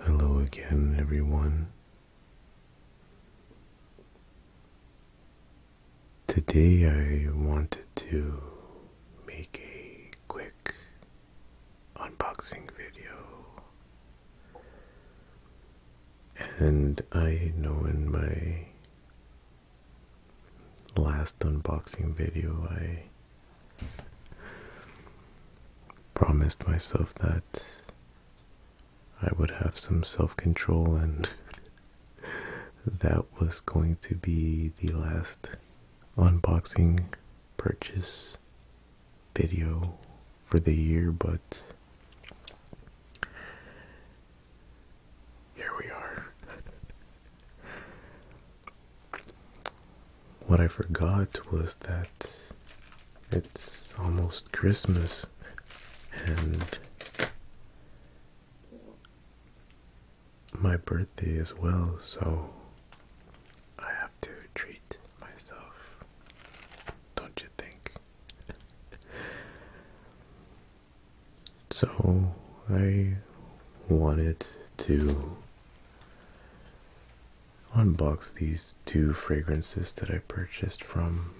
Hello again, everyone. Today, I wanted to make a quick unboxing video, and I know in my last unboxing video, I promised myself that I would have some self control, and that was going to be the last unboxing purchase video for the year, but here we are. what I forgot was that it's almost Christmas and my birthday as well, so I have to treat myself, don't you think? so I wanted to unbox these two fragrances that I purchased from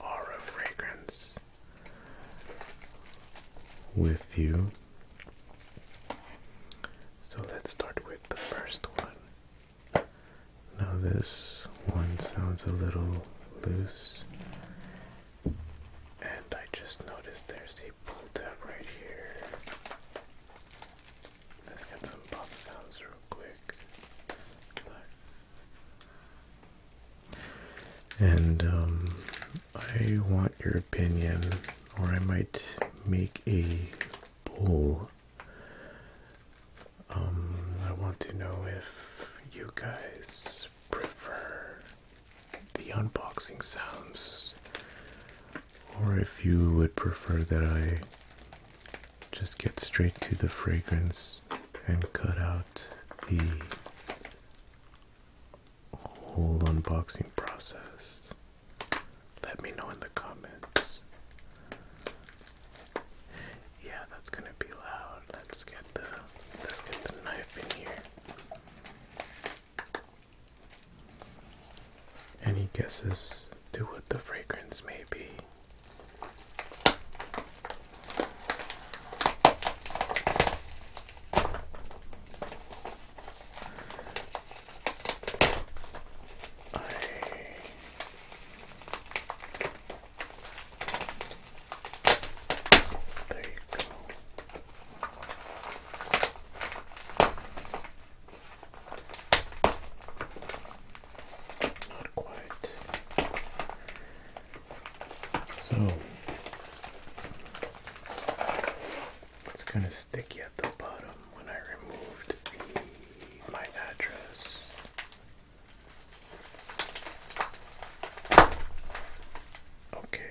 Aura Fragrance with you. So let's start with the first one. Now, this one sounds a little loose, and I just noticed there's they pulled right here. Let's get some pop sounds real quick. And um, I want your opinion, or I might make a poll. Um, I want to know if you guys prefer the unboxing sounds, or if you would prefer that I just get straight to the fragrance and cut out the whole unboxing process, let me know in the comments. Yeah, that's gonna be loud. Let's get the let's get the knife in here. Any guesses to what the fragrance may be? there you go. Not quite. So it's kind of sticky at the bottom when I removed the, my address. Okay.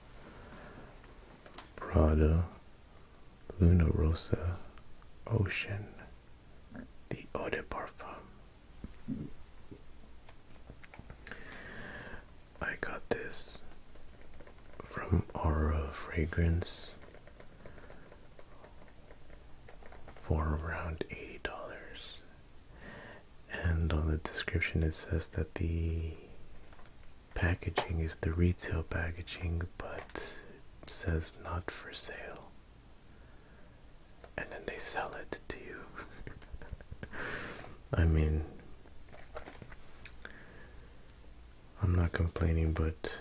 Prada, Luna Rosa, Ocean, the Eau de Parfum. I got this from Aura Fragrance for around $80. And on the description it says that the packaging is the retail packaging, but it says not for sale. And then they sell it to you. I mean, I'm not complaining, but it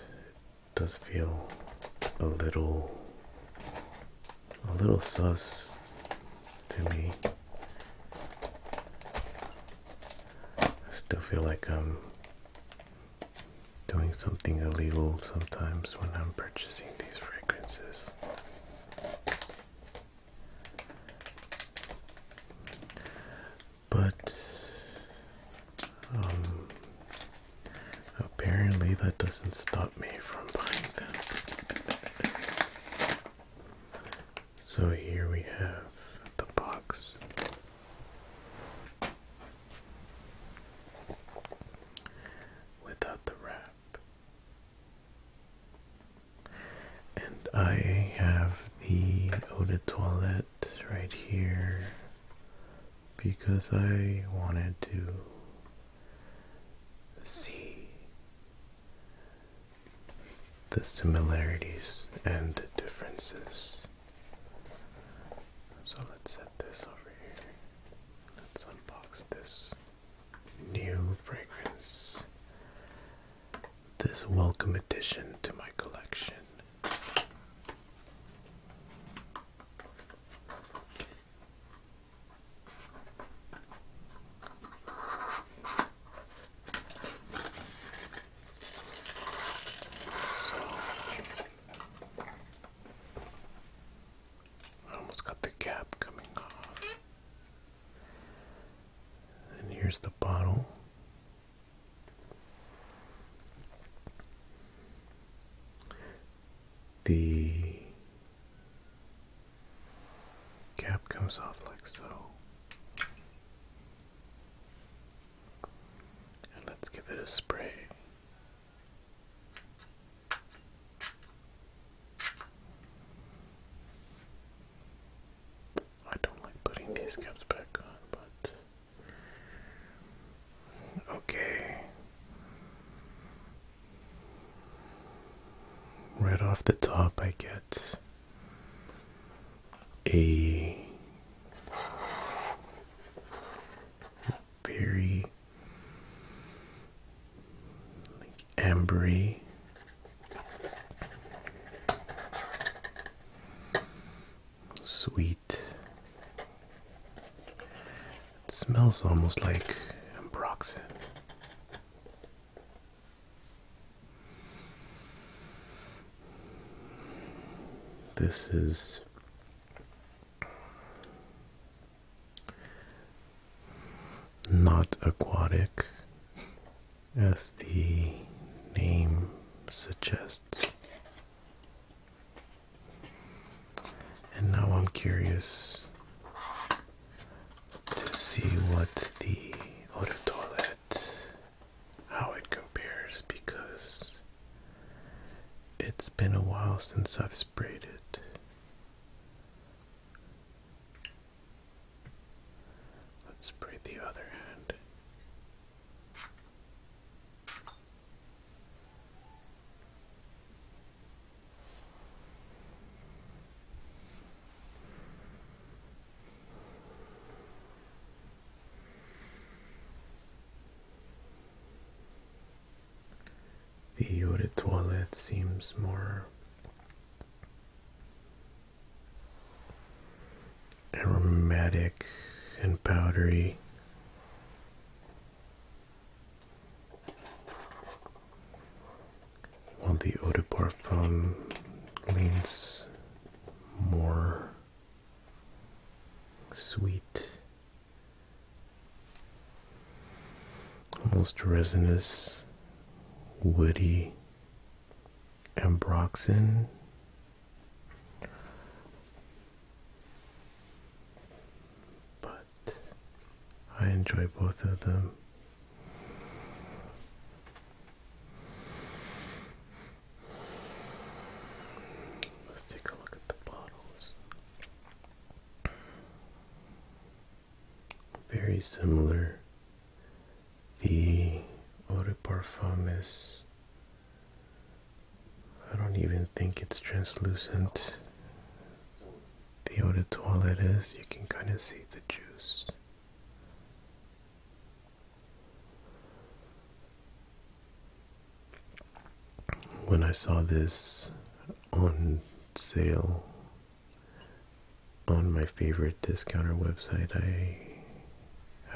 does feel a little, a little sus to me. I still feel like I'm doing something illegal sometimes when I'm purchasing these fragrances. But um, apparently that doesn't stop me from buying them. So here we have the box. Without the wrap. And I have the eau de toilette right here because I wanted to see the similarities and differences. So let's set this over here. Let's unbox this new fragrance. This welcome addition to my collection. I almost got the cap coming off. And here's the bottle. The cap comes off like so let's give it a spray. I don't like putting these caps back on, but. Okay. Right off the top, I get a very like ambery sweet it smells almost like ambroxan this is not aquatic as the name suggests. And now I'm curious to see what the Orotole how it compares because it's been a while since I've sprayed it. Let's spray the other hand. The eau de seems more aromatic and powdery. While the eau de parfum leans more sweet, almost resinous, woody, ambroxan. But I enjoy both of them. Let's take a look at the bottles. Very similar. The Eau de Parfum is. I don't even think it's translucent. The Eau de Toilette is. You can kind of see the juice. When I saw this on sale on my favorite discounter website, I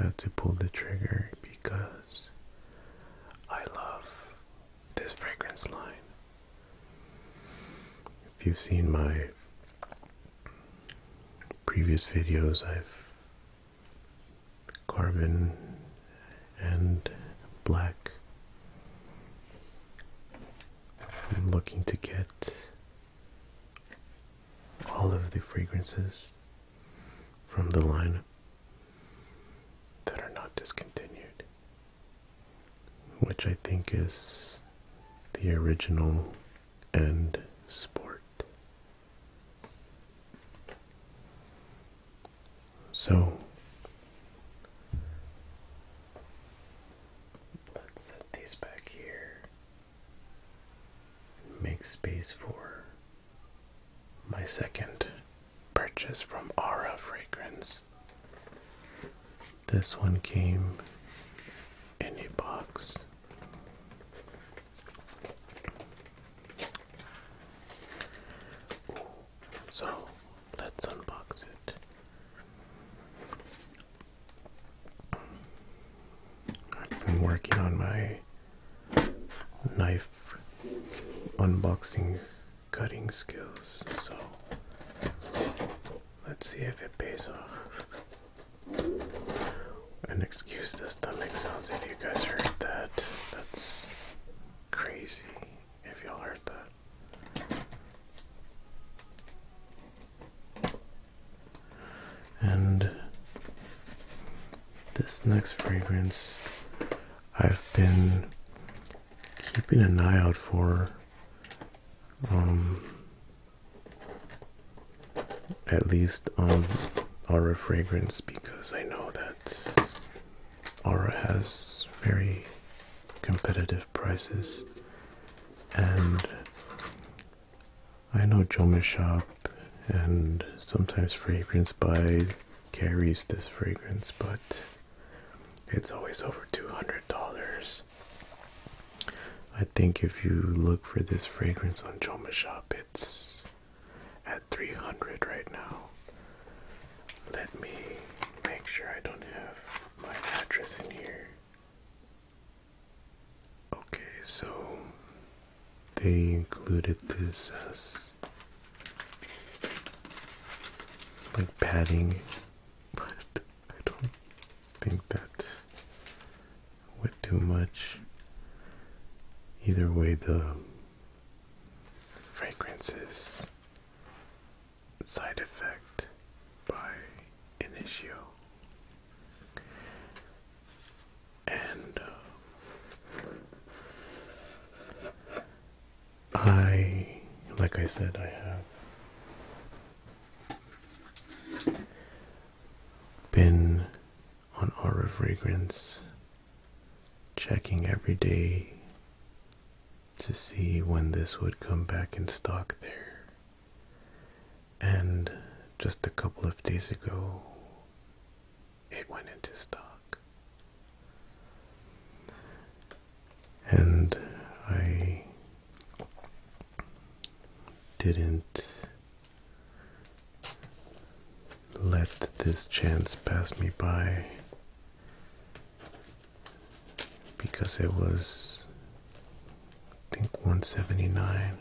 had to pull the trigger because I love this fragrance line. If you've seen my previous videos I've carbon and black. I'm looking to get all of the fragrances from the line that are not discontinued, which I think is the original and sport. So let's set these back here make space for my second purchase from Aura Fragrance. This one came in a box so let's unbox it. I've been working on my knife unboxing cutting skills, so let's see if it pays off. And excuse the stomach sounds if you guys heard that. That's crazy if y'all heard that. And this next fragrance I've been keeping an eye out for um, at least on um, Aura fragrance because I know that Aura has very competitive prices and I know Joma Shop and sometimes Fragrance by carries this fragrance but it's always over $200 I think if you look for this fragrance on Joma Shop, it's at 300 right now. Let me make sure I don't have my address in here. Okay, so they included this as like padding, but I don't think that's a too much. Either way, the fragrances side effect by Initio. And um, I, like I said, I have been on Aura Fragrance checking every day to see when this would come back in stock there. And just a couple of days ago, it went into stock. And I didn't let this chance pass me by because it was I think 179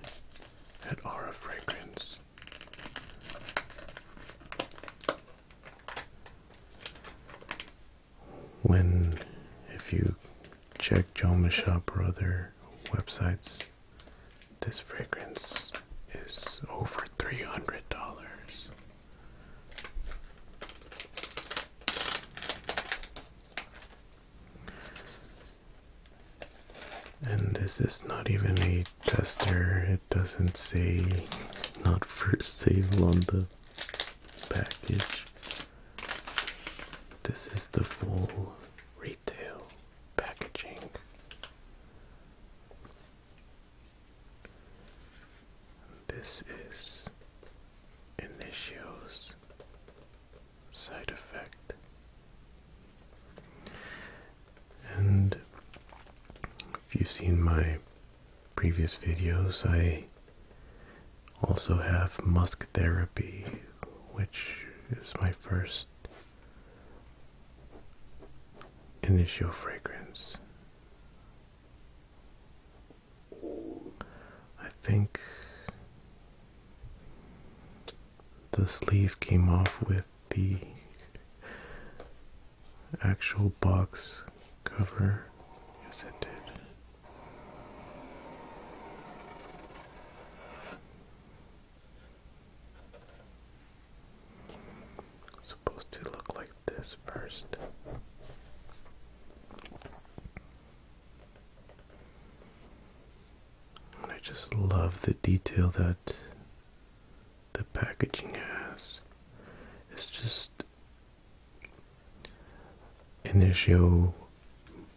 at Aura Fragrance. When, if you check Joma Shop or other websites. This fragrance is over three hundred dollars. And this is not even a tester, it doesn't say not for sale on the package. This is the full retail packaging. This is Initio's side effect. And if you've seen my previous videos, I also have musk therapy, which is my first initial fragrance. I think the sleeve came off with the actual box cover. Yes, it did supposed to look like this first. I just love the detail that the packaging has. It's just initial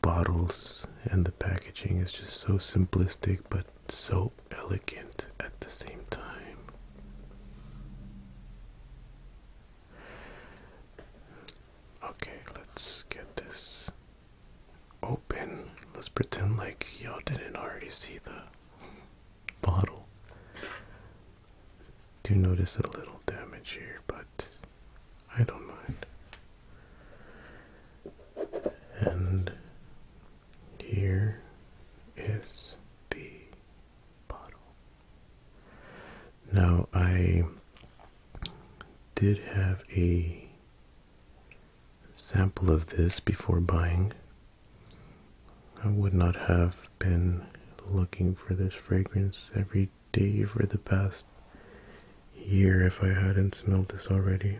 bottles and the packaging is just so simplistic but so elegant at the same time. Okay, let's get this open. Let's pretend like y'all didn't already see the bottle. Do notice a little damage here, but I don't mind. And here is the bottle. Now, I did have a sample of this before buying. I would not have been looking for this fragrance every day for the past year if I hadn't smelled this already.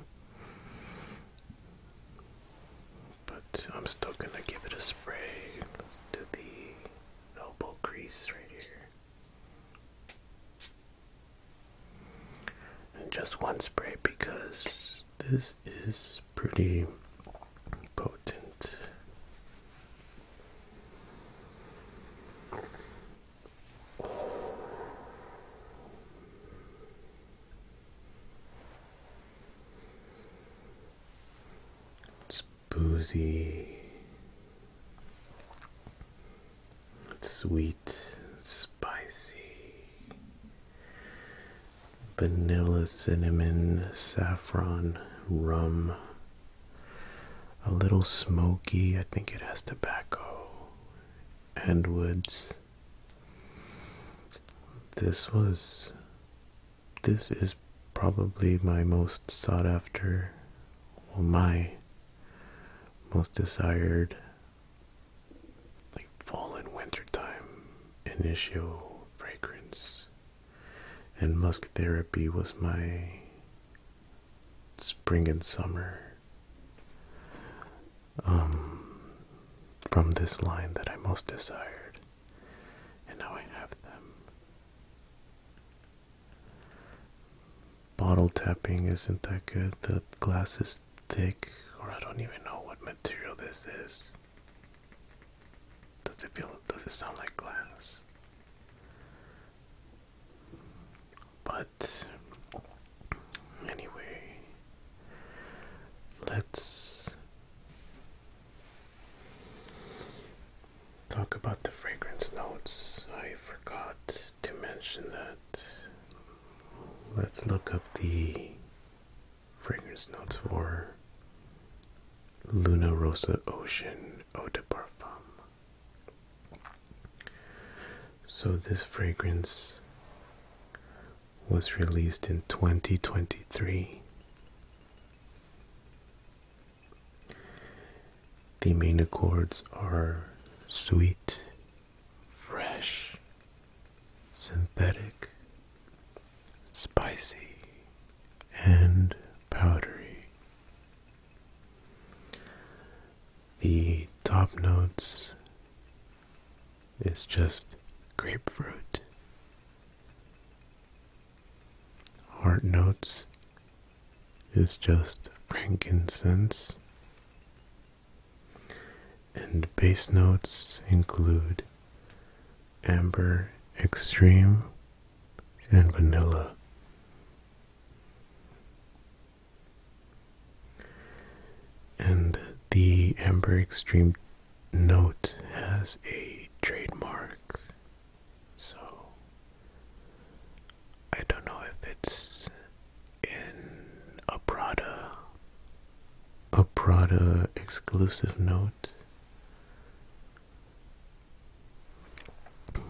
But I'm still gonna give it a spray. do the elbow grease right here. And just one spray because this is pretty potent. It's boozy. It's sweet, spicy. Vanilla, cinnamon, saffron, rum, a little smoky. I think it has tobacco and woods. This was. This is probably my most sought after, well, my most desired, like fall and wintertime initial fragrance. And musk therapy was my spring and summer um, from this line that I most desired, and now I have them. Bottle tapping isn't that good, the glass is thick, or I don't even know what material this is. Does it feel, does it sound like glass? anyway, let's talk about the fragrance notes. I forgot to mention that. Let's look up the fragrance notes for Luna Rosa Ocean Eau de Parfum. So, this fragrance was released in 2023. The main accords are sweet, fresh, synthetic, spicy, and powdery. The top notes is just grapefruit. Heart notes is just frankincense. And bass notes include amber, extreme, and vanilla. And the Amber Extreme note has a trademark, so I don't know if it's in a Prada, a Prada exclusive note.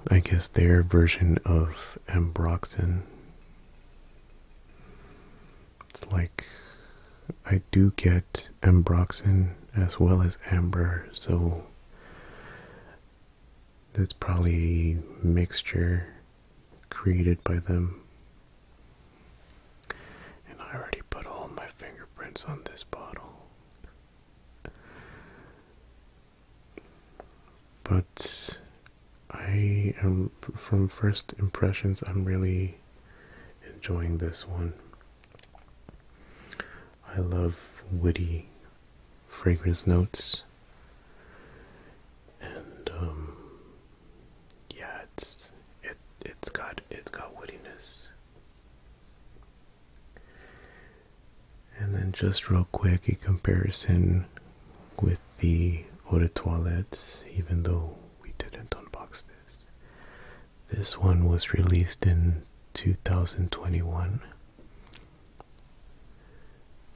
I guess their version of Ambroxan. It's like I do get Ambroxan as well as Amber, so that's probably a mixture created by them. And I already put all my fingerprints on this bottle but I am from first impressions I'm really enjoying this one. I love woody fragrance notes and um, yeah it's it it's got it's got woodiness and then just real quick, a comparison with the eau de even though we didn't unbox this. This one was released in 2021.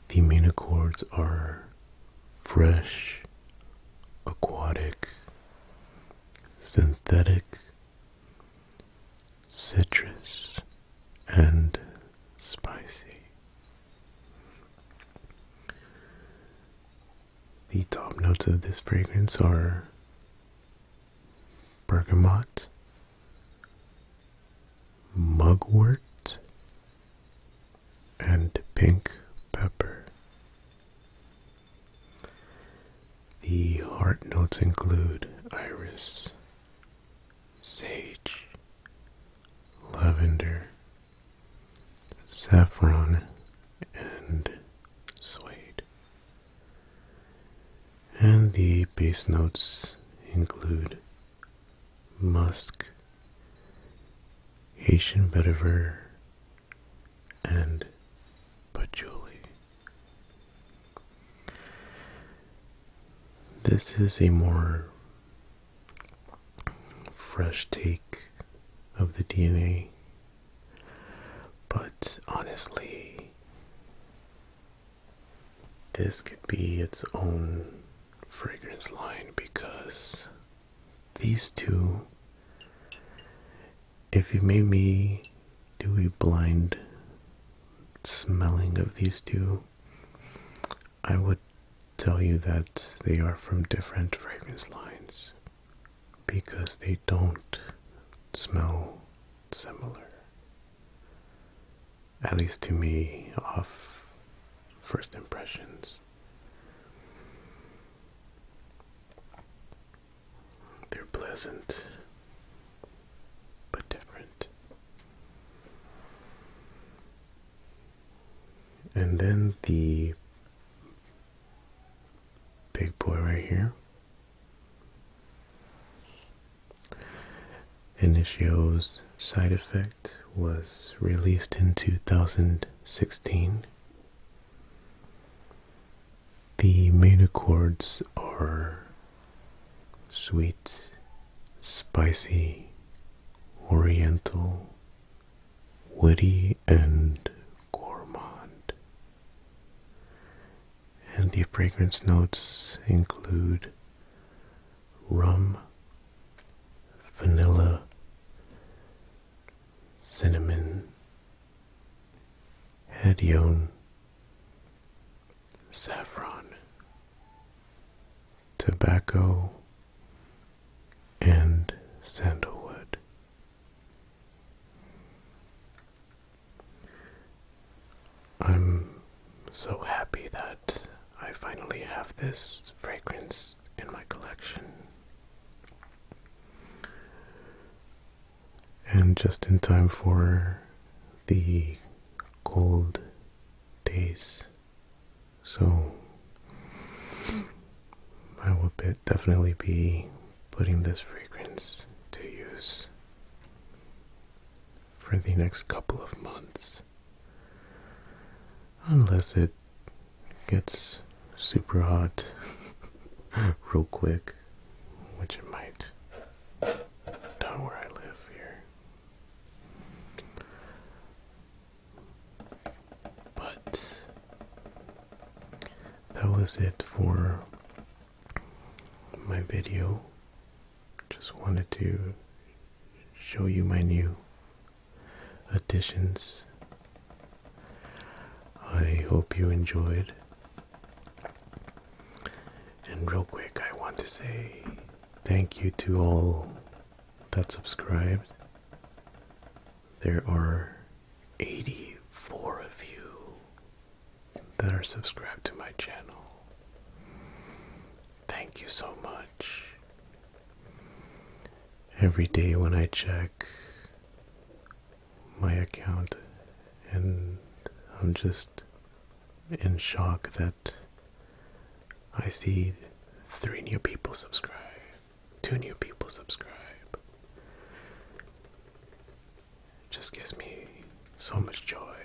The main accords are fresh, aquatic, synthetic, citrus, and spicy. The top notes of this fragrance are bergamot, mugwort, and pink pepper. The heart notes include iris, sage, lavender, saffron, and suede. And the base notes include musk, Haitian vetiver, and patchouli. This is a more fresh take of the DNA. But honestly, this could be its own fragrance line because these two, if you made me do a blind smelling of these two, I would tell you that they are from different fragrance lines because they don't smell similar. At least to me, off first impressions. They're pleasant but different. And then the big boy right here. Initio's side effect was released in 2016. The main chords are sweet, spicy, oriental, woody, and gourmand. And the fragrance notes include rum, vanilla, cinnamon, hedione, saffron, tobacco, and sandalwood. I'm so happy that I finally have this fragrance in my collection. And just in time for the cold days. So I will definitely be putting this fragrance to use for the next couple of months. Unless it gets super hot real quick, which it might down where I live here. But that was it for my video. Just wanted to show you my new additions. I hope you enjoyed. And real quick, I want to say Thank you to all that subscribed. There are 84 of you that are subscribed to my channel. Thank you so much. Every day when I check my account, and I'm just in shock that I see three new people subscribe, two new people subscribe. Just gives me so much joy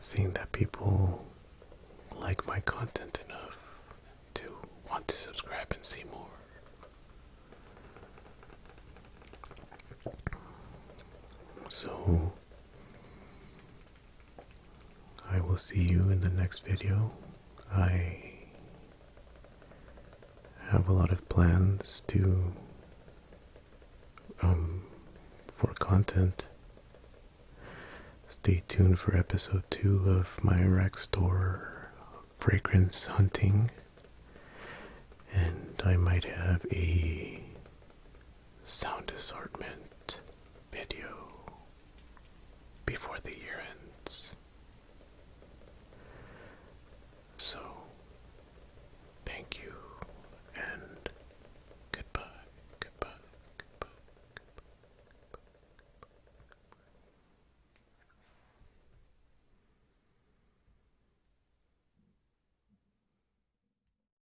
seeing that people like my content enough to want to subscribe and see more. So, I will see you in the next video. I have a lot of plans to um for content. Stay tuned for episode 2 of my rack store fragrance hunting and I might have a sound assortment video before the year ends. So, thank you and goodbye, goodbye,